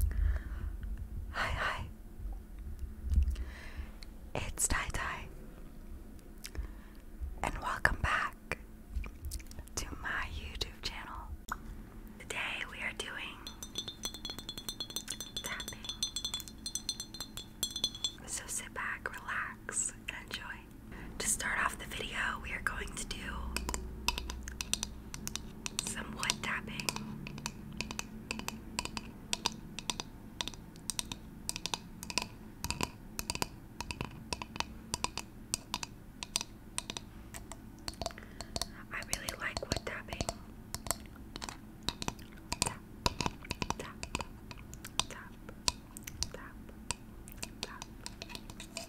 Hi, hi. It's Tai Tai. And welcome back to my YouTube channel. Today we are doing tapping. So sit back, relax, and enjoy. To start off the video, we are going to do some wood tapping. I really like wood tapping. Tap, tap, tap, tap, tap.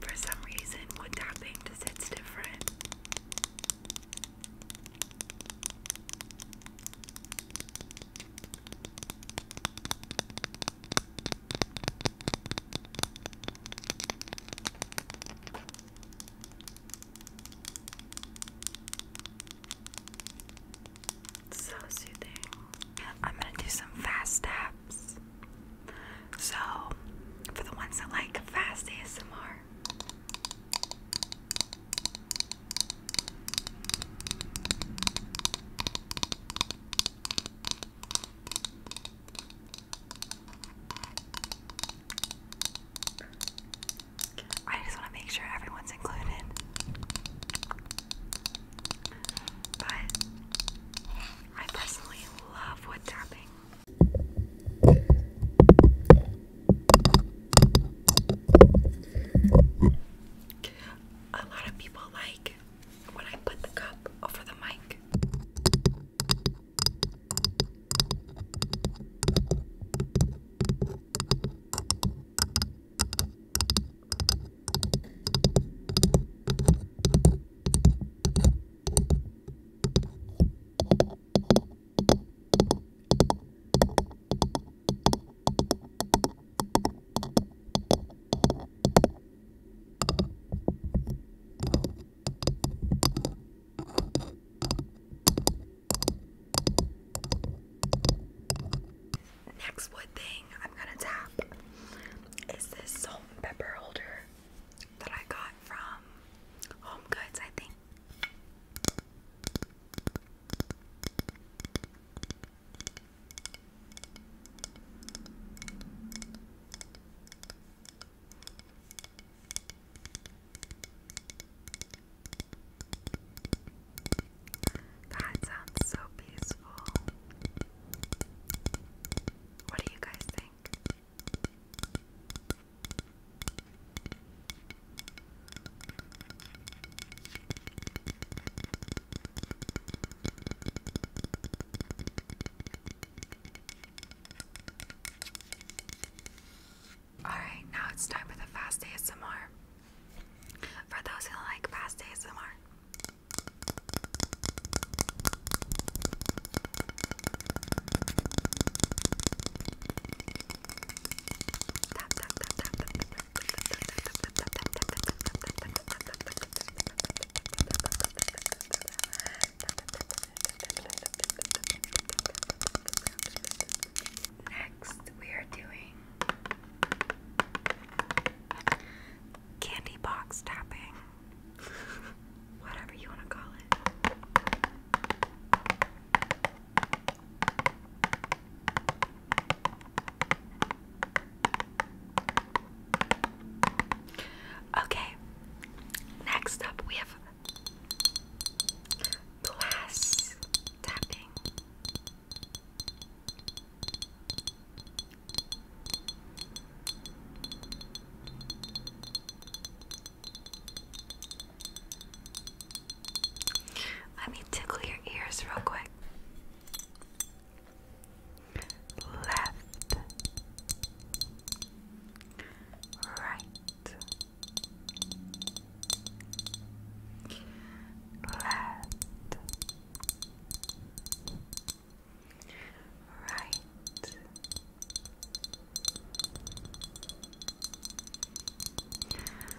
For some reason, wood tapping just hits different. So soothing. I'm gonna do some fast taps. So, for the ones that like fast ASMR, I just want to make sure everyone's included. But I personally love wood tapping. A lot of people like when I put the cup over the mic. Next wood thing I'm gonna tap is this salt and pepper holder that I got from Home Goods, I think. That sounds so peaceful. What do you guys think? Alright, now it's time for the fast ASMR. For those who like fast ASMR. Next, we are doing candy box tapping, whatever you want to call it. Okay, next up we have glass tapping. Let me tickle your ears real quick left, right, left, right.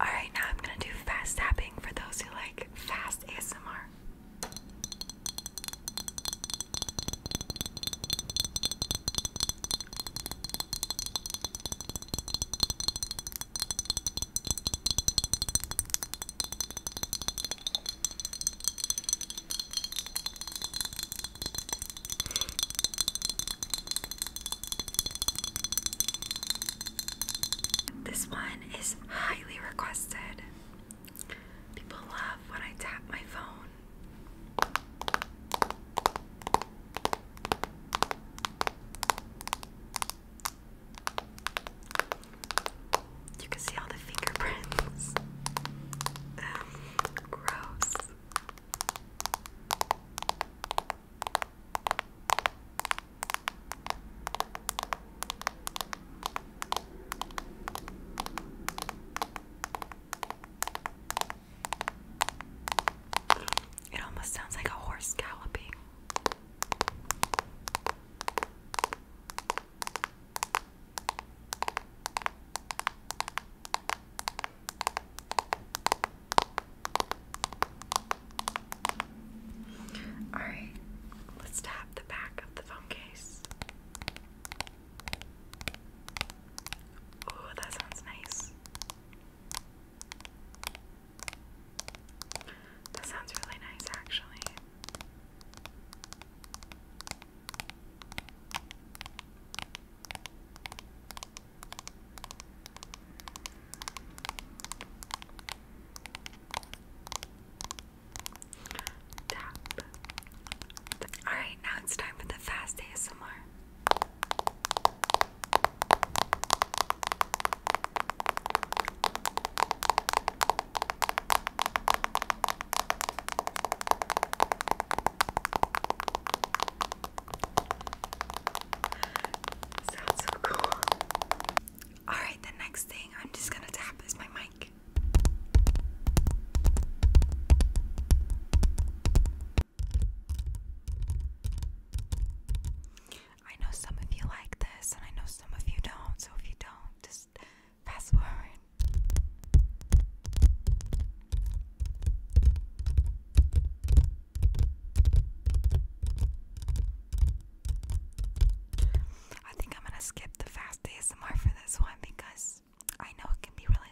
Alright, now I'm gonna do fast tapping for those who like fast ASMR. This one is highly requested. People love when I tap my phone. You can see all the fingerprints. Um, gross. It almost sounds like a horse galloping. All right, let's tap the back of the phone case. Oh, that sounds nice. That sounds really nice, actually. Tap. Alright, now it's time for the fast ASMR. Sounds so cool. Alright, the next thing I'm just gonna tap is my mic. I know some of you like this, and I know some of you don't, so if you don't, just fast forward. I think I'm gonna skip the fast ASMR for this one because I know it can be really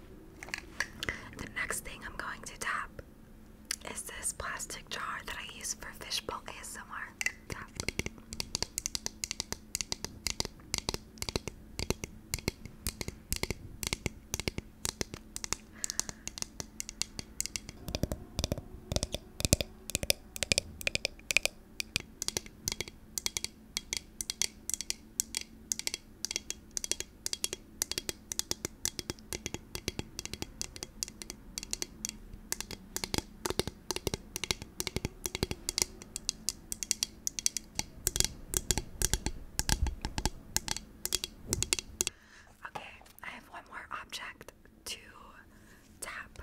the next thing I'm going to tap is this plastic jar that I use for fishbowl ASMR. Okay, I have one more object to tap.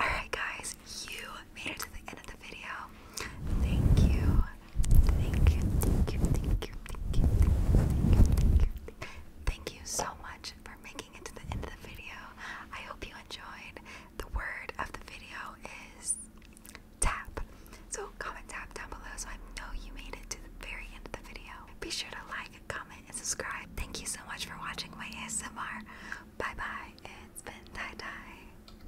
Alright, guys, you made it to the end of the video. Thank you, Thank you, thank you, thank you, thank you, thank you, thank you. Thank you so much for making it to the end of the video. I hope you enjoyed. The word of the video is tap. So comment tap down below so I know you made it to the very end of the video. Be sure to like, comment, and subscribe. Thank you so much for watching my ASMR. Bye bye. It's been Tie Tie.